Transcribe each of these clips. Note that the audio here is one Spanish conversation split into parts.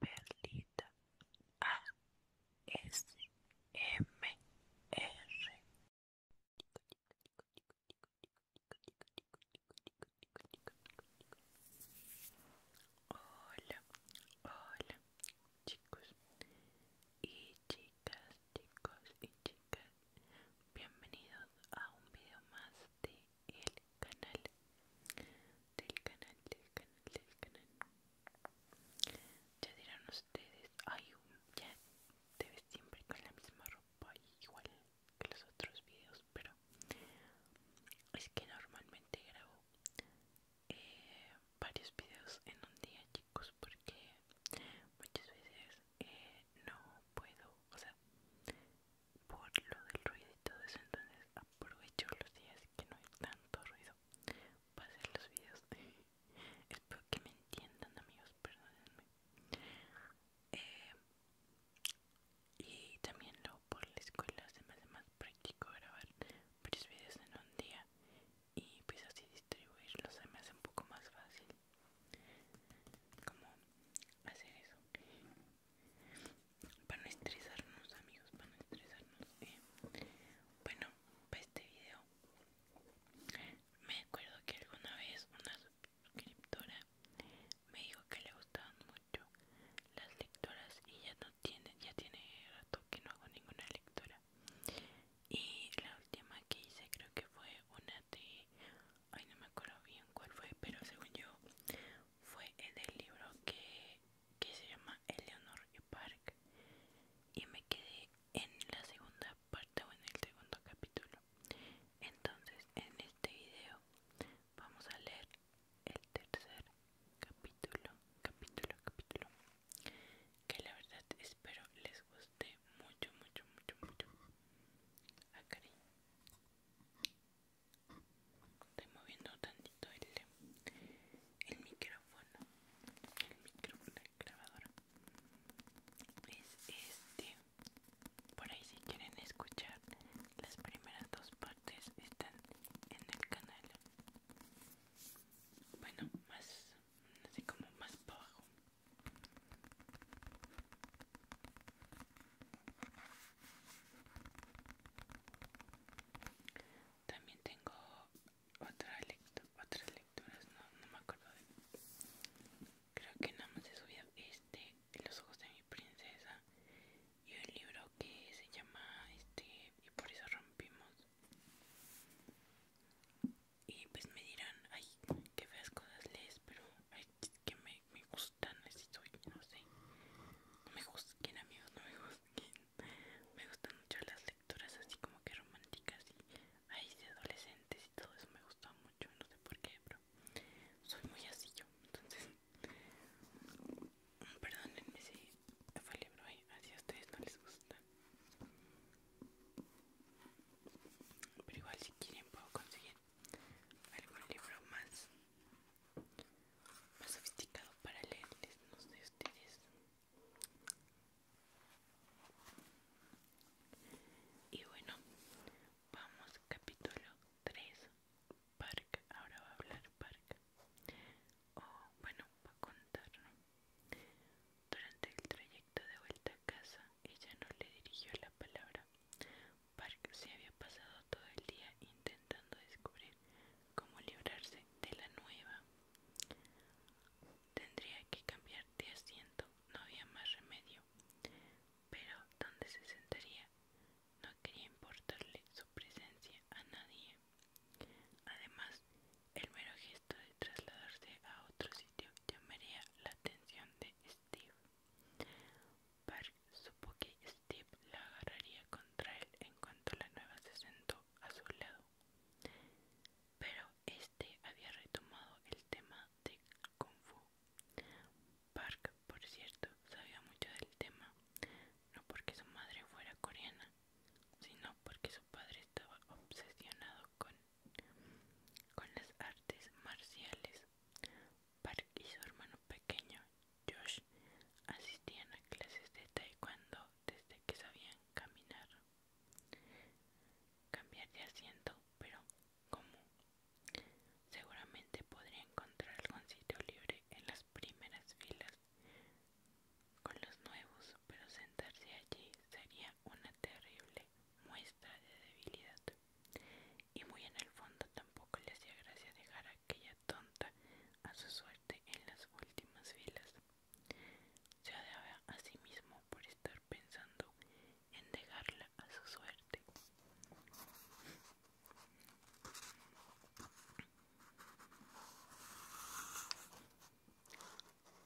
Perlita A S M R Hola, hola chicos y chicas, chicos y chicas, bienvenidos a un video más de el canal del canal del canal del canal ya dirán ustedes hay un um, ya te ves siempre con la misma ropa igual que los otros videos pero es que normalmente grabo eh, varios videos en un día chicos porque muchas veces eh, no puedo o sea por lo del ruido y todo eso entonces aprovecho los días que no hay tanto ruido para hacer los videos espero que me entiendan amigos perdónenme eh, y también luego por la escuela se me hace más práctico grabar varios videos en un día y pues así distribuirlos se me hace un poco más fácil como hacer eso para no estresarnos amigos para no estresarnos eh. bueno para este video me acuerdo que alguna vez una suscriptora me dijo que le gustaban mucho las lectoras y ya no tiene ya tiene rato que no hago ninguna lectura y la última que hice creo que fue una de ay no me acuerdo bien cuál fue pero según yo fue en el libro que, que se llama Eleanor y Park y me quedé en la segunda parte o en el segundo capítulo entonces en este video vamos a leer el tercer capítulo capítulo capítulo que la verdad espero les guste mucho mucho mucho mucho a Estoy moviendo tantito el, micrófono. El micrófono, el grabador. Es este. Por ahí si quieren escuchar las primeras dos partes están en el canal. Bueno, más así como más bajo. También tengo otra otras lecturas, no, me acuerdo de... Creo que nada más he subido este, Los ojos de mi princesa y un libro que se llama este y por eso rompimos. Y pues me dirán, ay, qué feas cosas lees, pero que me me, gustan así soy, no sé, no me juzguen amigos, no me juzguen, me gustan mucho las lecturas así como que románticas y ahí de adolescentes y todo eso me gusta mucho, no sé por qué, pero soy muy así yo, entonces, perdónenme si fue el libro ahí, así a ustedes no les gusta. Pero igual si quieren puedo conseguir algún libro más más sofisticado para leerles, no sé ustedes. Y bueno, vamos capítulo 3, Park, ahora va a hablar Park. O bueno, va a contar, Durante el trayecto de vuelta a casa, ella no le dirigió la palabra Park se había pasado todo el día intentando descubrir cómo librarse de la nueva. Tendría que cambiar de asiento, no había más remedio. Pero ¿dónde se sentaría? No quería importarle su presencia a nadie. Además, el mero gesto de trasladarse a otro sitio llamaría la atención de Steve. Park supo que Steve la agarraría contra él en cuanto la nueva se sentó a su lado. Pero este había retomado el tema de Kung Fu. Park, por cierto, sabía mucho del tema, no porque su madre fuera coreana, sino porque su padre estaba obsesionado con, con las artes marciales. Park y su hermano pequeño, Josh, asistían a clases de taekwondo desde que sabían caminar. Cambiar de asiento, pero como Seguramente podría encontrar algún sitio libre en las primeras filas con los nuevos, pero sentarse allí sería una terrible muestra de debilidad y muy en el fondo tampoco le hacía gracia dejar a aquella tonta a su suerte en las últimas filas. Se odiaba a sí mismo por estar pensando en dejarla a su suerte.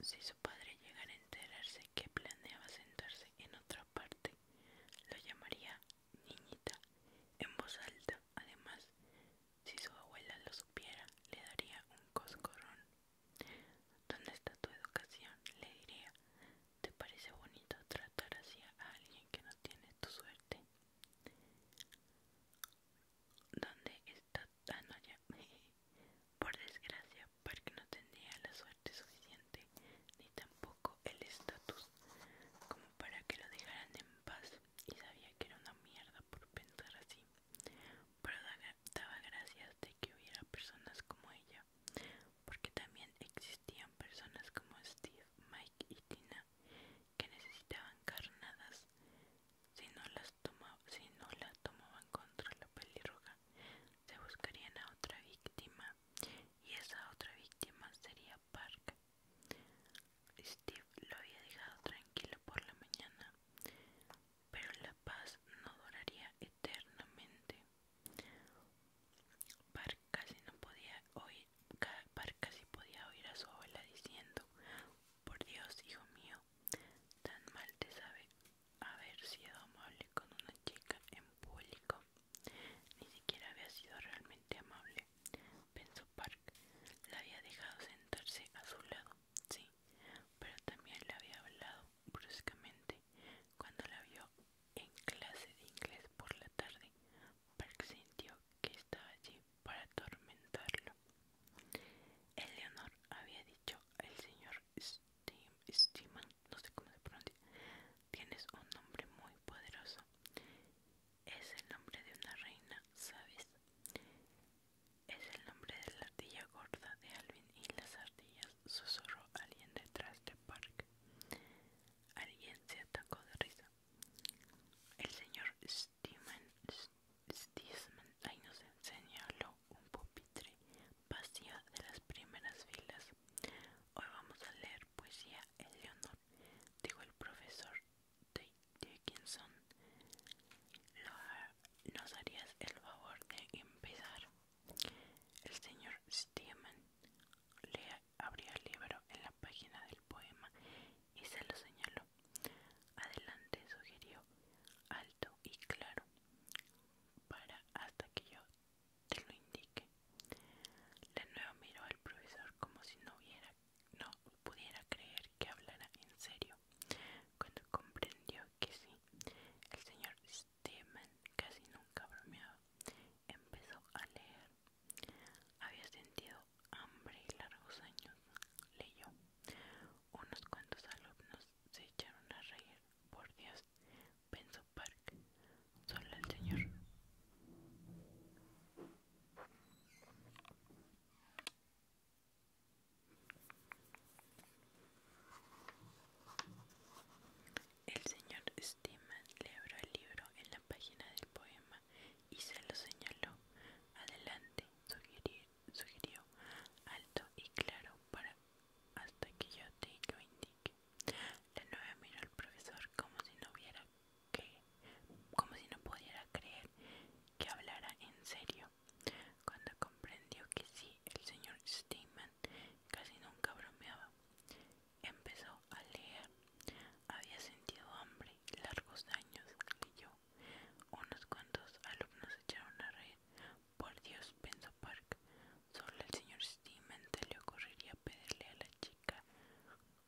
Si su padre llegara a enterarse que planeaba sentarse en otra parte, lo llamaría niñita en voz alta. Además, si su abuela lo supiera, le daría un coscorón. ¿Dónde está tu educación? Le diría. ¿Te parece bonito tratar así a alguien que no tiene tu suerte? ¿Dónde está? Ah, Por desgracia, porque no tendría la suerte suficiente, ni tampoco el estatus como para que lo dejaran en paz y sabía que era una mierda por pensar así, pero daba gracias de que hubiera personas como ella, porque también existían personas como Steve, Mike y Tina que necesitaban carnadas si no las tomaba, si no la tomaban contra la pelirroja se buscarían a otra víctima y esa otra víctima sería Park. Steve lo había dejado tranquilo por la mañana, pero la paz no duraría eternamente. casi no podía Park casi podía oír a su abuela diciendo, por Dios, hijo mío, tan mal te sabe haber sido amable con una chica en público. Ni siquiera había sido realmente amable, pensó Park. La había dejado sentarse a su lado, sí, pero también le había hablado bruscamente. Cuando la vio en clase de inglés por la tarde, Park sintió que estaba allí para atormentarlo. Eleanor había dicho al señor Steam, no sé cómo se pronuncia, Tienes un nombre muy poderoso. Es el nombre de una reina, ¿sabes? Es el nombre de la ardilla gorda de Alvin y las ardillas, susurró alguien detrás de Park. Alguien se atacó de risa. El señor Steeman, ahí nos señaló un pupitre vacío de las primeras filas. Hoy vamos a leer poesía león dijo el profesor Dickinson, ¿nos harías el favor de empezar? El señor Steeman le abrió el libro en la página del poema y se lo señaló. Adelante, sugirió, alto y claro, para hasta que yo te lo indique. La nueva miró al profesor como si no, pudiera creer que hablara en serio. Cuando comprendió que sí, el señor Steeman casi nunca bromeaba. Empezó a leer. Había sentido hambre y largos años. Leyó. Unos cuantos alumnos se echaron a reír. Por Dios, pensó Park solo el Señor. El señor Steeman le abrió el libro en la página del poema y se lo señaló. Adelante, sugirió, alto y claro para hasta que yo te lo indique. La nueva miró al profesor como si no hubiera como si no pudiera creer que hablara en serio. Cuando comprendió que sí, el señor Steinman casi nunca bromeaba, empezó a leer. Había sentido hambre largos años, leyó. Unos cuantos alumnos echaron a red. Por Dios, pensó Park. Solo el señor Steeman se le ocurriría pedirle a la chica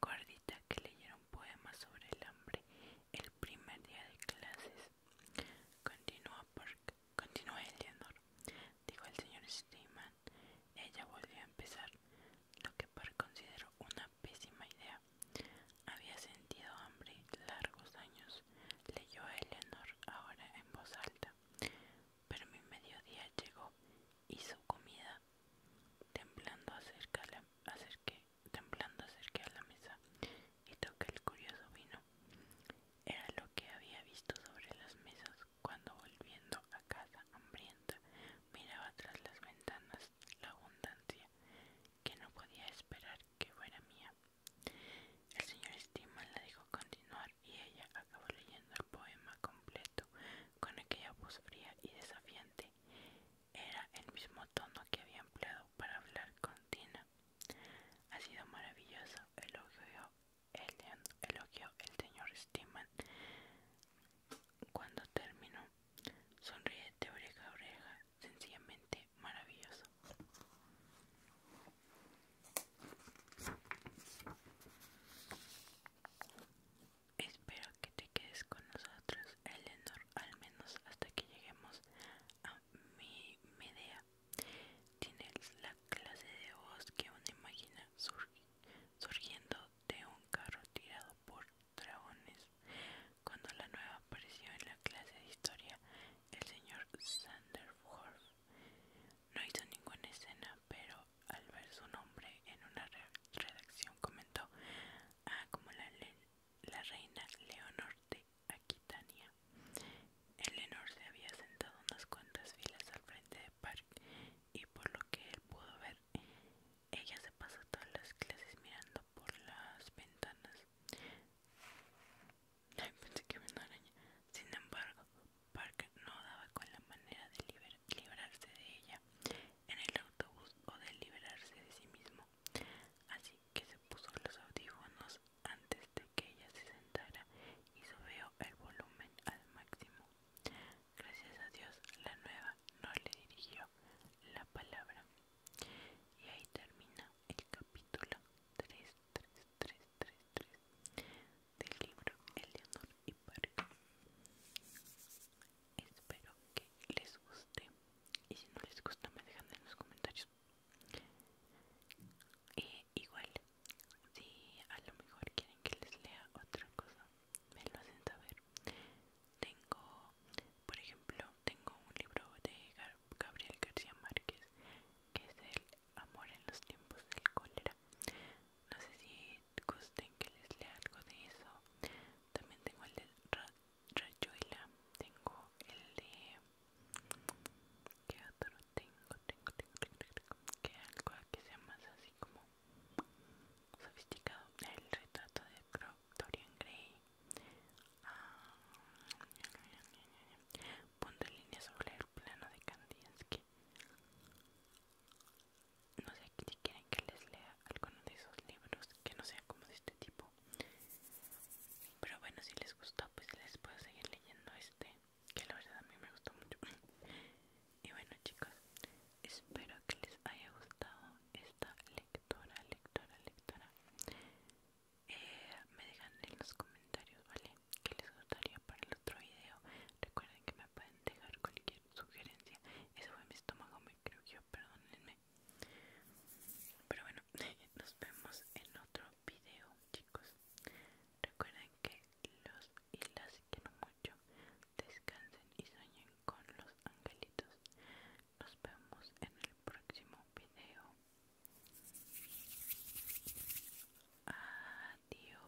gordita que leyeron un poema sobre el hambre el primer día de clases. Continúa Eleanor, dijo el señor Steeman. Ella volvió a empezar, lo que Park consideró una pésima idea. Había sentido hambre largos años, leyó Eleanor ahora en voz alta. Pero mi mediodía llegó y su comida Temblando acerca acerqué, a la mesa y toqué el curioso vino. Era lo que había visto sobre las mesas cuando volviendo a casa hambrienta miraba tras las ventanas la abundancia que no podía esperar que fuera mía. El señor estima la dijo continuar y ella acabó leyendo el poema completo con aquella voz fría y desafiante. Era el mismo tono que había empleado para hablar con Tina. Ha sido maravilloso, elogió el, el señor Steeman. Cuando terminó, sonríe de oreja a oreja, sencillamente maravilloso. Espero que te quedes con nosotros, Eleanor, al menos hasta que lleguemos a mi media. Tienes la clase de voz que uno imagina surgiendo de un carro tirado por dragones. Cuando la nueva apareció en la clase de historia, el señor Sanderford no hizo ninguna escena, pero al ver su nombre en una redacción comentó, ah, como la, la reina Leonor de Aquitania. Eleanor se había sentado unas cuantas filas al frente de Park y por lo que él pudo ver, ella se pasó todas las clases mirando por las ventanas. que araña. Sin embargo, Park no daba con la manera de liberarse librarse de ella en el autobús o de liberarse de sí mismo. Así que se puso los audífonos antes de que ella se sentara y subió el volumen al máximo. Gracias a Dios, la nueva no le dirigió la palabra. Y ahí termina el capítulo 33333 del libro El Leonor y París espero que les guste y si no les gusta me dejan en los comentarios eh, igual si a lo mejor quieren que les lea otra cosa me lo hacen saber tengo por ejemplo tengo un libro de Gabriel García Márquez que es el amor en los tiempos del cólera no sé si gusten que les lea algo de eso también tengo el de Rayuela tengo el de que otro tengo tengo tengo que algo que sea más así como sofisticado el retrato de Dorian Gray ah, punto línea sobre el plano de Kandinsky no sé si quieren que les lea alguno de esos libros que no sean como de este tipo pero bueno si les gustó pues les puedo seguir leyendo este que la verdad a mí me gustó mucho y bueno chicos espero que les haya gustado esta lectura lectura eh, me dejan en los comentarios vale que les gustaría para el otro video recuerden que me pueden dejar cualquier sugerencia. Eso fue mi estómago, me creo que perdónenme. Pero bueno, nos vemos en otro video, chicos. Recuerden que los y las no mucho. Descansen y sueñen con los angelitos. Nos vemos en el próximo video. Adiós.